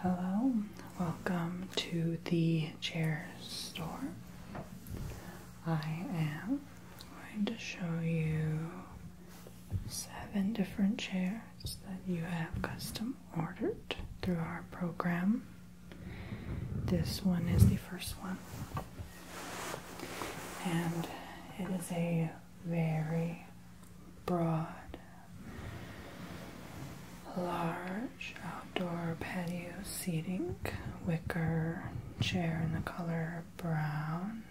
Hello, welcome to the chair store. I am going to show you seven different chairs that you have custom ordered through our program. This one is the first one, and it is a very broad, large outdoor patio seating, wicker chair in the color brown,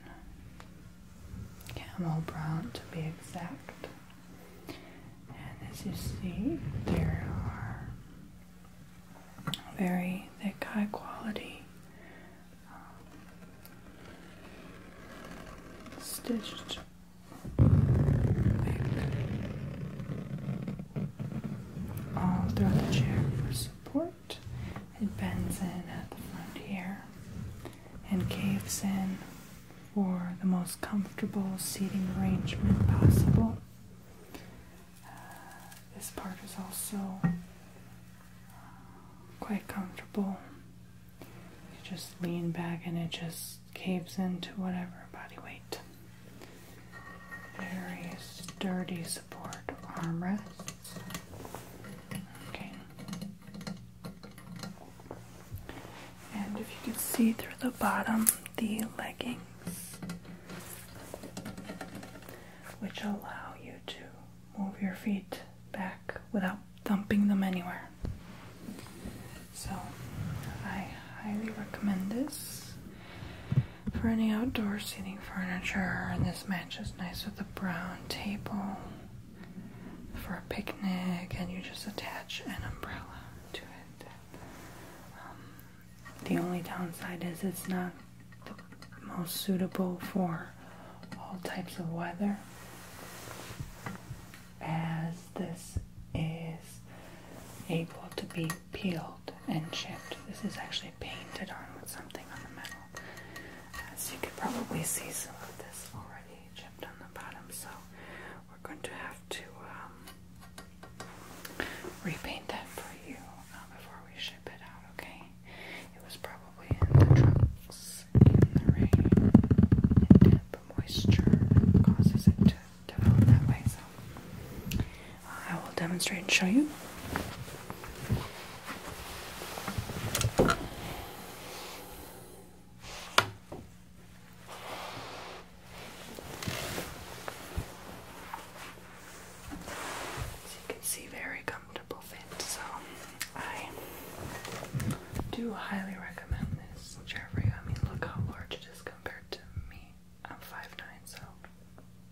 camel brown to be exact. And as you see, there are very thick, high quality stitched back all throughout the chair for support. It bends in at the front here and caves in for the most comfortable seating arrangement possible. Uh, this part is also quite comfortable. You just lean back and it just caves into whatever body weight. Very sturdy support armrests. Okay. And if you can see through the bottom, the leggings, which allow you to move your feet back without dumping them anywhere. So, I highly recommend this for any outdoor seating furniture, and this matches nice with a brown table for a picnic, and you just attach an umbrella to it. Um, the only downside is it's not most suitable for all types of weather as this is able to be peeled and chipped. This is actually painted on with something on the metal. As you can probably see some of this already chipped on the bottom, so we're going to have to um, repaint that for you um, before we ship it out, okay? It was probably in the trucks, in the rain, and damp moisture causes it to develop that way. So uh, I will demonstrate and show you. As you can see, there it so I do highly recommend this chair for you. I mean, look how large it is compared to me. I'm 5'9", so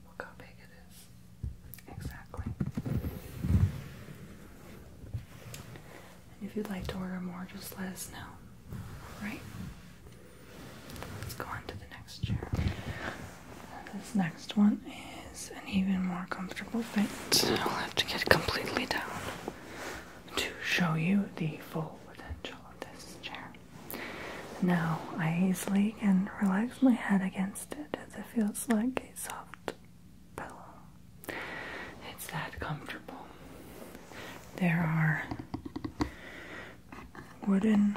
look how big it is. Exactly. And if you'd like to order more, just let us know. All right? Let's go on to the next chair. This next one is an even more comfortable fit. I'll have to get completely down to show you the full potential of this chair. Now I easily can relax my head against it as it feels like a soft pillow. It's that comfortable. There are wooden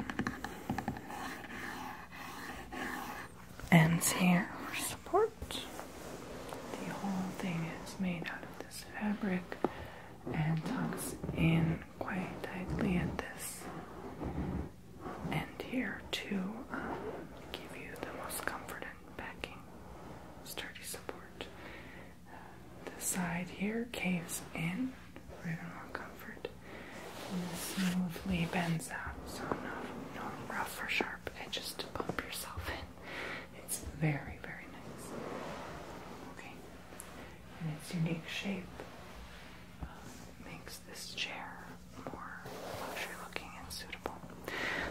ends here for support. The whole thing is made out of this fabric and tucks in quite tightly at this end here to um, give you the most comfort and backing, sturdy support. the side here caves in for even comfort and this smoothly bends out, so no, rough or sharp edges to bump yourself in. It's very, very nice. Okay, and its unique shape uh, makes this chair more luxury looking and suitable.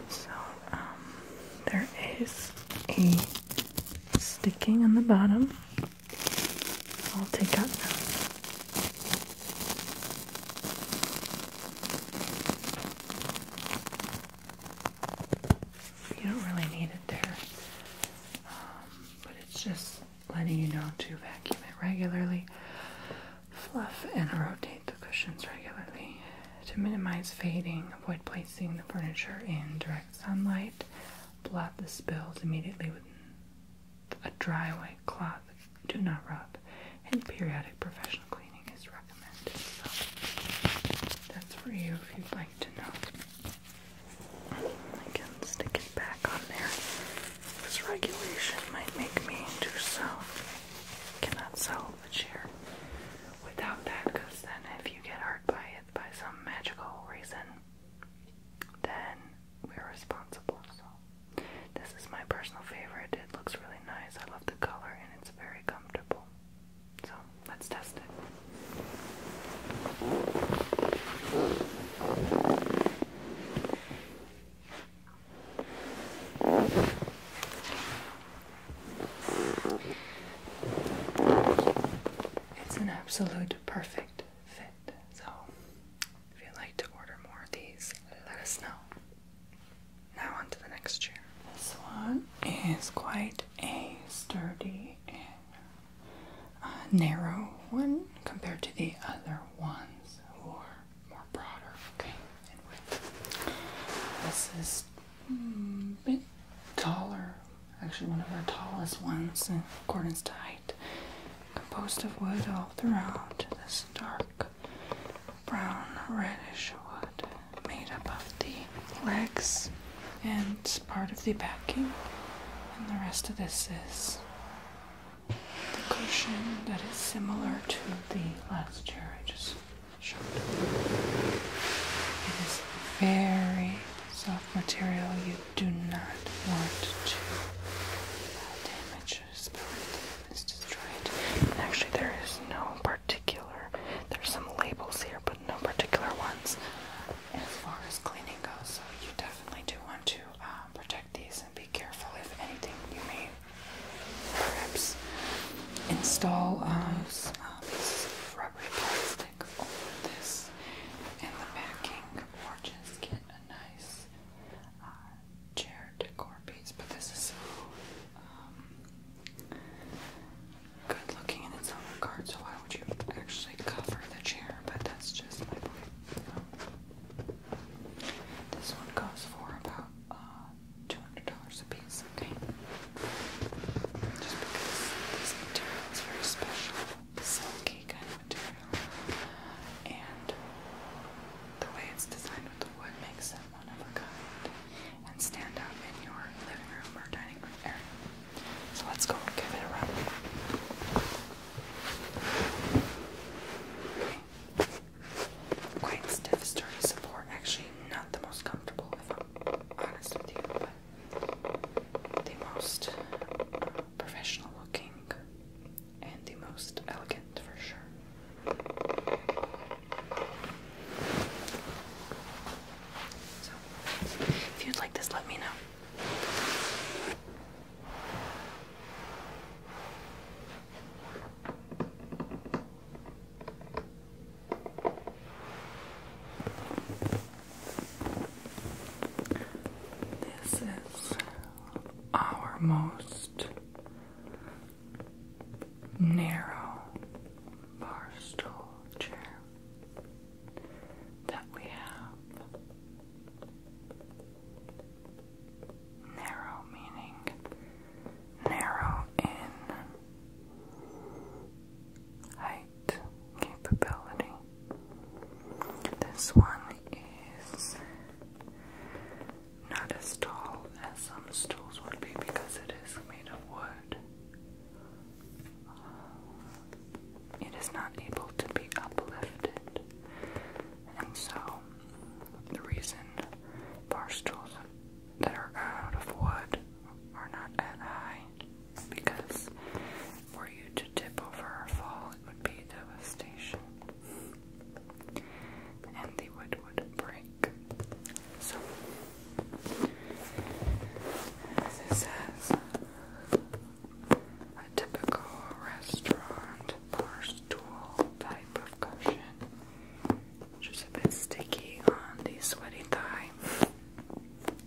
So um, there is a sticking on the bottom. I'll take out now. You don't really need it there, um, but it's just letting you know to vacuum it regularly, fluff and rotate the cushions regularly to minimize fading. Avoid placing the furniture in direct sunlight. Blot the spills immediately with a dry white cloth, do not rub, and periodic professional cleaning is recommended. So that's for you if you'd like to know. I can stick it back on there. This regulation might make me do so. cannot sell the chair without that, because then if you get hurt by it by some magical reason, then we're responsible. So. This is my personal favorite. It looks really nice. I love the color and it's very comfortable. So let's test it. It's an absolute perfect fit. So if you'd like to order more of these, let us know. Now on to the next chair. This one is quite a sturdy and uh, narrow one compared to the other ones who are more broader. Okay, width. This is mm, bit taller, actually one of our tallest ones in accordance to height. Composed of wood all throughout. This dark brown reddish wood made up of the legs and part of the backing, and the rest of this is the cushion that is similar to the last chair I just showed. It is very soft material, you do not want to damage vicious is destroyed. actually, there is no particular, there's some labels here, but no particular ones as far as cleaning goes. So, you definitely do want to uh, protect these and be careful if anything you may perhaps install uh, uh rubbery plastic over this and the backing, or just get a nice. Uh, chair decor piece, but this is so um, good looking in its own regard. So why would you actually cover the chair? But that's just my point. This one goes for about uh, two hundred dollars a piece. Okay, just because this material is very special, silky kind and the way it's designed with wood makes it one of a kind and stand out in your living room or dining room area. So let's go give it a run. Quite stiff, support. Actually, not the most comfortable, if I'm honest with you, but the most uh, professional looking and the most elegant for sure. So, if you'd like this, let me know. This is our most narrow bar stool chair that we have. Narrow meaning narrow in height capability. This one is not as tall as some stools would be because it is made of wood. it is not able to be uplifted, and so the reason bar stools that are out of wood are not at high because were you to tip over or fall, it would be devastation and the wood would break. So, this is a typical restaurant bar stool type of cushion, which is a bit sticky on the sweaty thigh.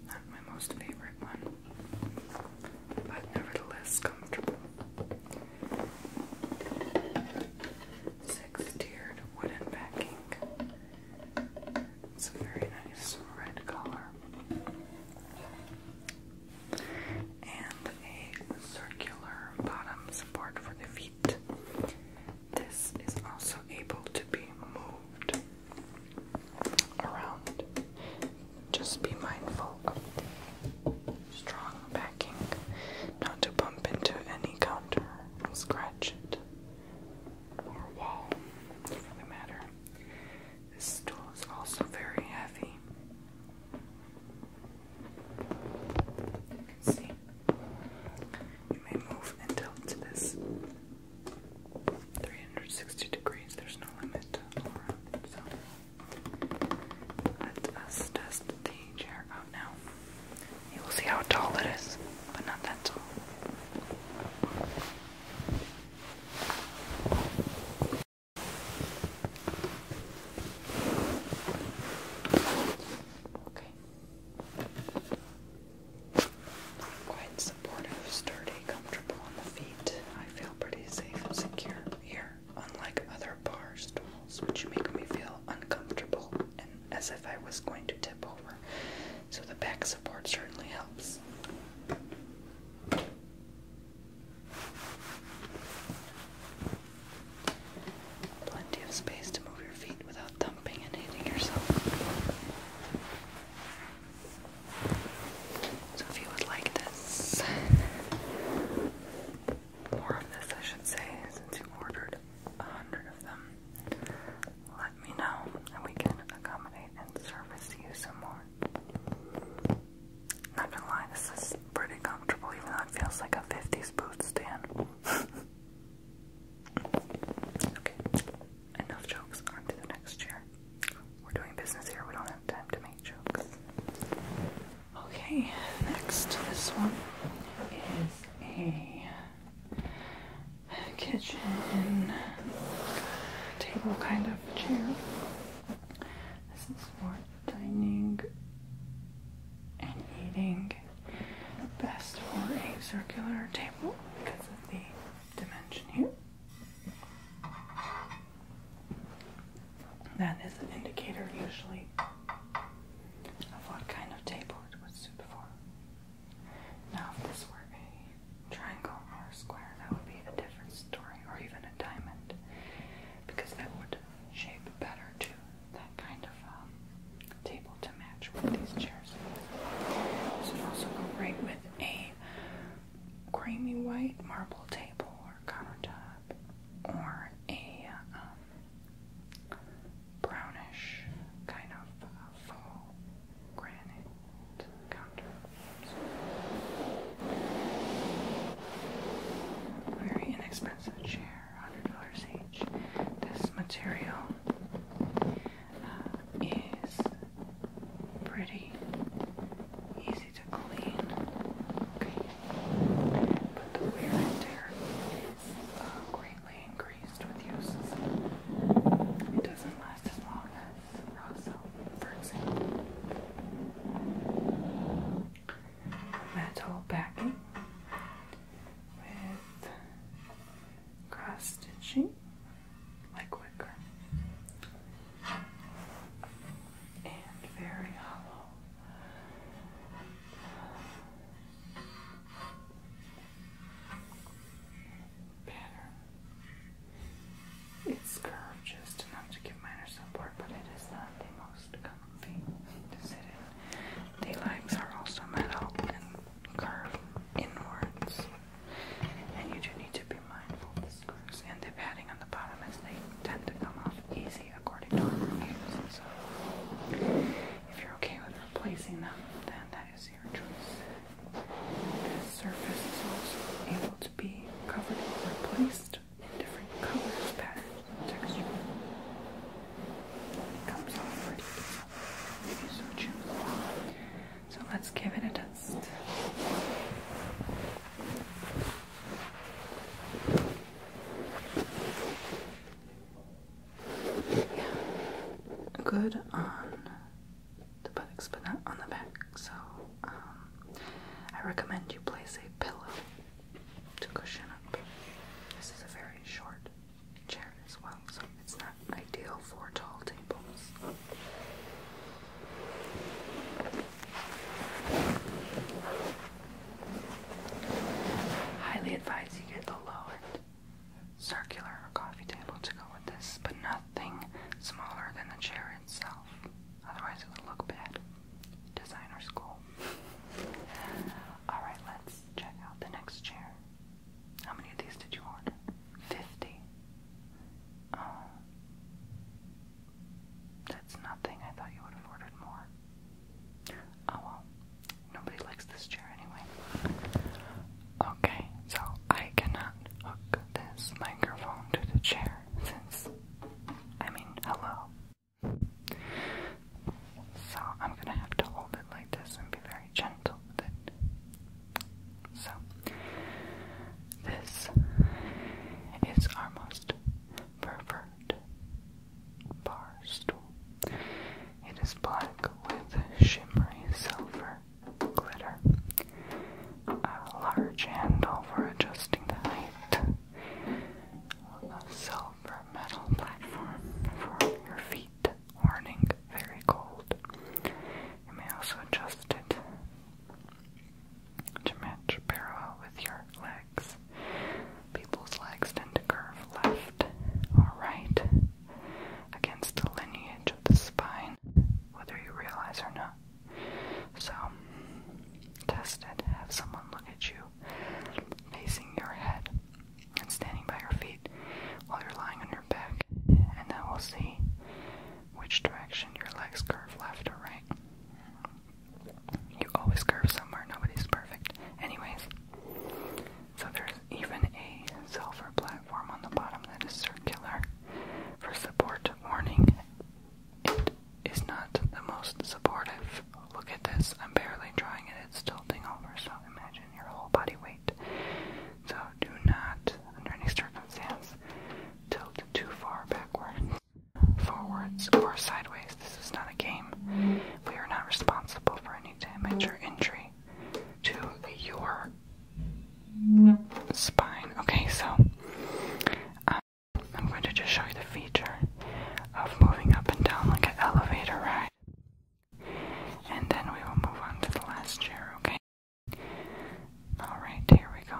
Not my most favorite one, but nevertheless comfortable. Six-tiered wooden backing. It's a very nice red color. And a circular bottom support for the feet. This is also able to be moved around just be mindful of the strong backing, not to bump into any counter and scratch it or wall for the matter. This stool is also very heavy. You can see. You may move and to this 360 degrees, there's no limit let us test the chair out oh, now. You will see how tall it is, but not that tall. Okay. Quite supportive, sturdy, comfortable on the feet. I feel pretty safe and secure here unlike other bar stools, which make me feel uncomfortable and as if I was going to tip over. So the back support certainly helps. Plenty of space to move your feet without thumping and hitting yourself. So, if you would like this, more of this, I should say, since you ordered a hundred of them, let me know and we can accommodate and service you some more. Not gonna lie, this is pretty comfortable, even though it feels like a 50s booth stand. okay, enough jokes, on to the next chair. We're doing business here, we don't have. Okay, next, this one is a kitchen table kind of chair. This is for dining and eating. Best for a circular table because of the dimension here. That is an indicator usually of what kind of table it would suit for. Now, if this were a triangle or a square, that would be a different story, or even a diamond, because that would shape better to that kind of um, table to match with these chairs. This would also go great with a creamy white marble table or countertop or a um, brownish kind of uh, faux granite counter. Very inexpensive chair, $100 each. This material uh, is pretty easy easy to clean. But the wear and tear is uh, greatly increased with uses. It doesn't last as long as Rosso, Metal backing with cross stitching like wicker and very hollow. Pattern. It's curved just enough to give minor support, but it is the most comfy to sit in. The legs are also metal and curve inwards, and you do need to be mindful and the padding on the bottom as they tend to come off easy according to our reviews. So if you're okay with replacing them, then that is your choice. This surface is also able to be covered or replaced in different colors, patterns, and textures. It comes off pretty if you so choose. So let's give it a test good on the buttocks but not on the back. So um, I recommend you place a pillow to cushion up. This is a very short chair as well, so it's not ideal for tall tables. Highly advise you get the lowered circular coffee table to go with this, but nothing smaller than the chair itself. Otherwise, it would look bad. Designer school. Alright, let's check out the next chair. How many of these did you order? Fifty. Oh. That's nothing. I thought you would have ordered more. Oh well. Nobody likes this chair anyway. Okay, so I cannot hook this microphone to the chair since, I mean, hello. So I'm gonna have to hold it like this and be very gentle with it. So, this is our most preferred bar stool. It is black with shimmery silver glitter, a large handle for adjusting the height, a silver metal platform for your feet, warning very cold. You may also adjust it to match parallel with your legs. People's legs tend to curve left or right against the lineage of the spine, whether you realize or not. So, test it. Have someone look at you facing your head and standing by your feet while you're lying on your back, and then we'll see which direction your legs curve left or right. You always curve somewhere, nobody's perfect. Anyways, so there's even a silver platform on the bottom that is circular for support warning. It is not the most supportive. Look at this, I'm barely trying it, it's tilting over, so imagine your whole body weight. So do not, under any circumstance, tilt too far backwards forwards or sideways. This is not a game. We are not responsible for any damage or injury to your spine. Okay, so um, I'm going to just show you the feature of moving up and down like an elevator ride. And then we will move on to the last chair, okay? Alright, here we go.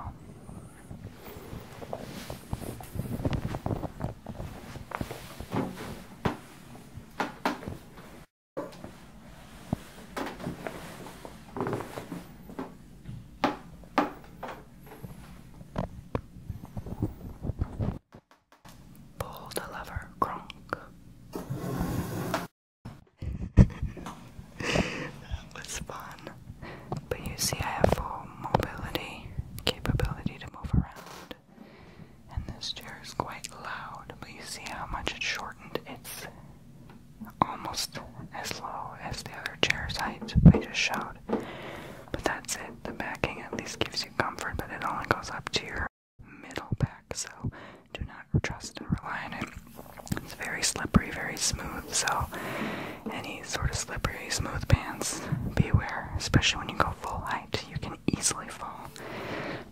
Pull the lever, Gronk. that was fun. But you see, I have full mobility, capability to move around. And this chair is quite loud, but you see how much it shortened. It's almost as low as the other chair's height I just shout, But that's it. The backing at least gives you comfort, but it only goes up to your middle back, so do not trust and rely on it. It's very slippery, very smooth, so any sort of slippery, smooth pants, beware, especially when you go full height. You can easily fall,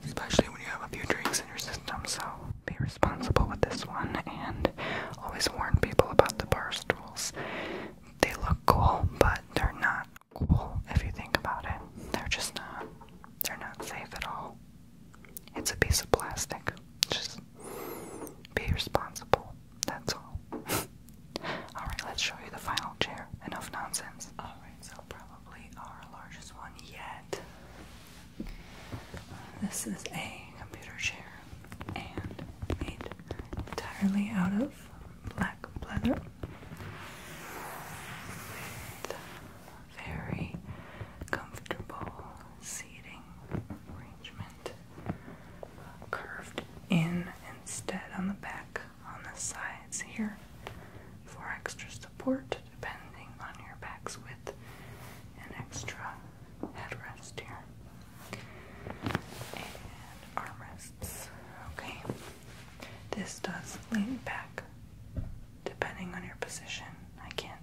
especially when you have a few drinks in your system, so be responsible with this one and always warn people about the bar stools. They look cool, but they're not cool if you think about it. They're just not. They're not safe at all. It's a piece of plastic. Just be responsible. That's all. Alright, let's show you the final chair. Enough nonsense. Alright, so probably our largest one yet. This is a computer chair and made entirely out of black leather. With very comfortable seating arrangement curved in instead on the back on the sides here for extra support depending on your back's width and extra headrest here and armrests okay this does lean back depending on your position I can not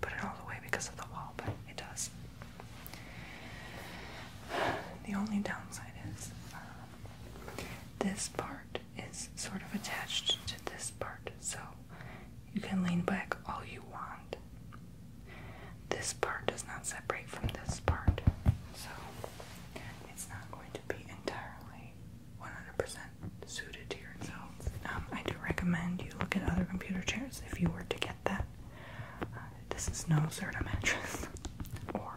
put it all away because of the wall, but it does. The only downside is uh, this part is sort of attached to this part, so you can lean back all you want. This part does not separate from this part, so it's not going to be entirely 100% suited to yourself. Um, I do recommend you look at other computer chairs if you were to get that. Uh, this is no sort of mattress or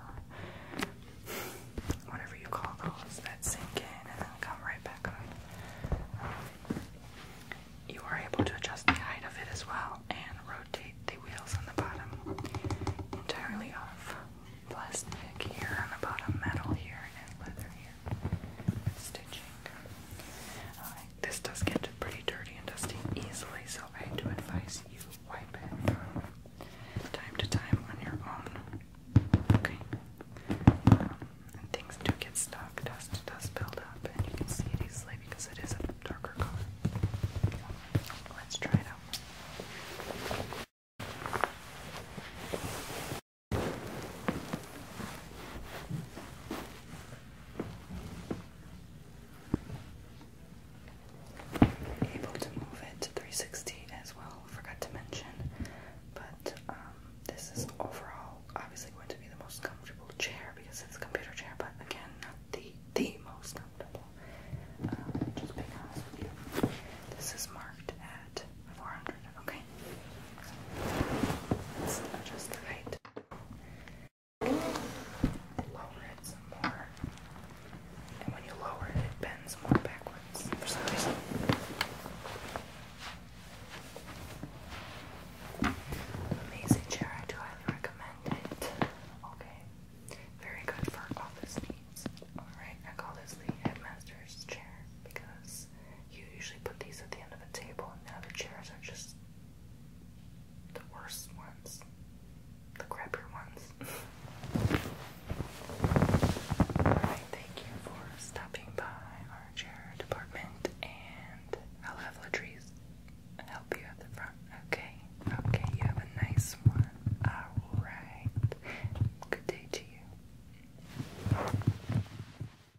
whatever you call those that sink in and then come right back up. you are able to adjust the height of it as well and rotate the wheels on the bottom entirely off plastic here on the bottom, metal here, and leather here. Stitching. Uh, this does get pretty dirty and dusty easily, so I do advise you wipe it from time to time on your own. Okay? Um, and things do get stuck, dust does build and you can see it easily because it is a darker color. Let's try it out. Able to move it to 360 as well, forgot to mention. But um, this is overall obviously going to be the most comfortable chair because it's a computer chair, but again, not the the most comfortable. Um, just being honest with you. This is marked at 400, okay? So let's the height. Lower it some more. And when you lower it, it bends more backwards for some reason. Amazing chair, I do highly recommend it. Okay. Very good for office needs. Alright, I call this the headmaster's chair because you usually put these at the end of the table, and now the chairs are just the worst ones, the crappier ones. Alright, thank you for stopping by our chair department, and I'll have Latrice help you at the front, okay? Okay, you have a nice one. Alright, good day to you.